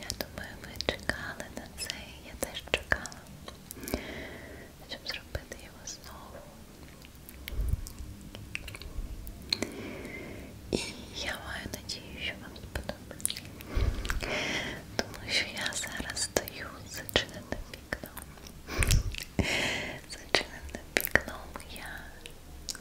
Я думаю, ви чекали на це, я теж чекала, щоб зробити його знову. І я маю надію, що вам сподобається. Тому що я зараз стою зачиненим вікном. Зачиненим вікном я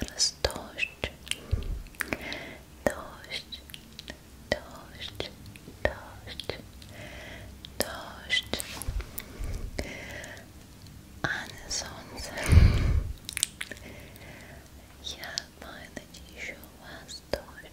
zaraz dość dość dość dość dość a słońce ja mam nadzieję, że was dość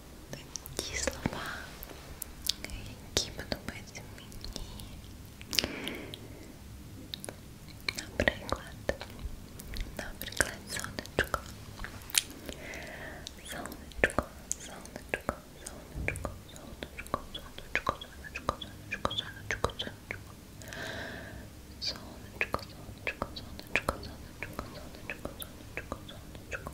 ті слова, які подобаються мені. Наприклад, наприклад, сонечко. Сонечко, сонечко, сонечко, сонечко, сонечко, сонечко, сонечко, сонечко, сонечко. Сонечко, сонечко, сонечко, сонечко, сонечко, сонечко, сонечко, сонечко.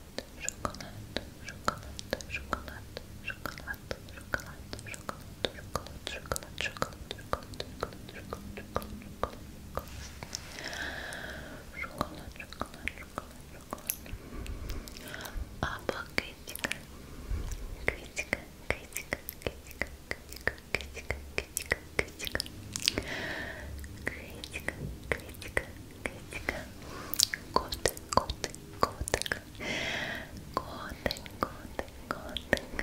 chocolate, chocolate, chocolate, chocolate, chocolate, chocolate, chocolate, chocolate, chocolate, chocolate, chocolate, chocolate, chocolate, chocolate, Апокритика, критика, критика, критика, критика, критика, критика, критика, критика, критика, Gotek, Gotek, Gotek, Gotek, Gotek, Gotek,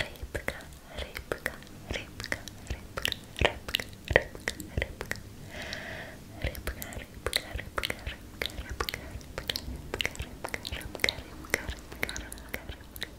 Rybka, rybka, rybka, rybka, rybka, rybka, rybka, rybka, rybka, rybka, rybka, rybka, rybka, rybka, rybka, rybka, rybka, rybka, rybka, rybka,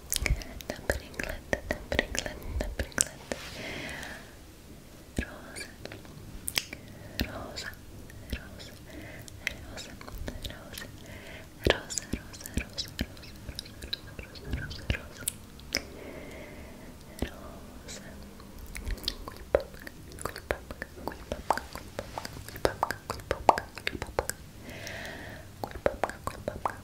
the Pringlet, the Pringlet, the Pringlet Rosa, Rosa, Rosa, Rosa, Rosa, Rosa, Rosa, Rosa, Rosa, Rosa, Rosa, Rosa, Rosa, Rosa,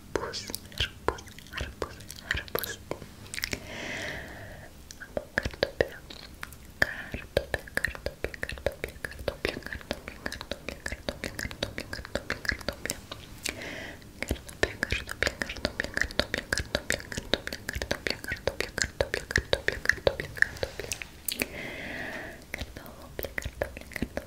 арбуз, арбуз, арбуз, арбуз. Картопля, картопля, картопля, картопля, картопля, картопля, картопля, картопля, картопля, картопля, картопля. Картопля, картопля, картопля, картопля, картопля, картопля, картопля, картопля, картопля, картопля, картопля, картопля. Картопля, картопля, картопля,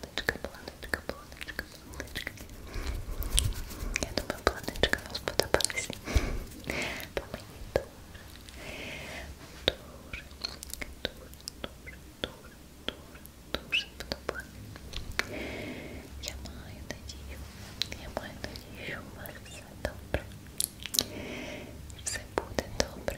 планочка, планочка, планочка, планочка. Я думаю, планочка вам сподобалась. По мені дуже, дуже, дуже, дуже, дуже, дуже сподобалась. Я маю надію, я маю надію, що у вас все добре. Все буде добре.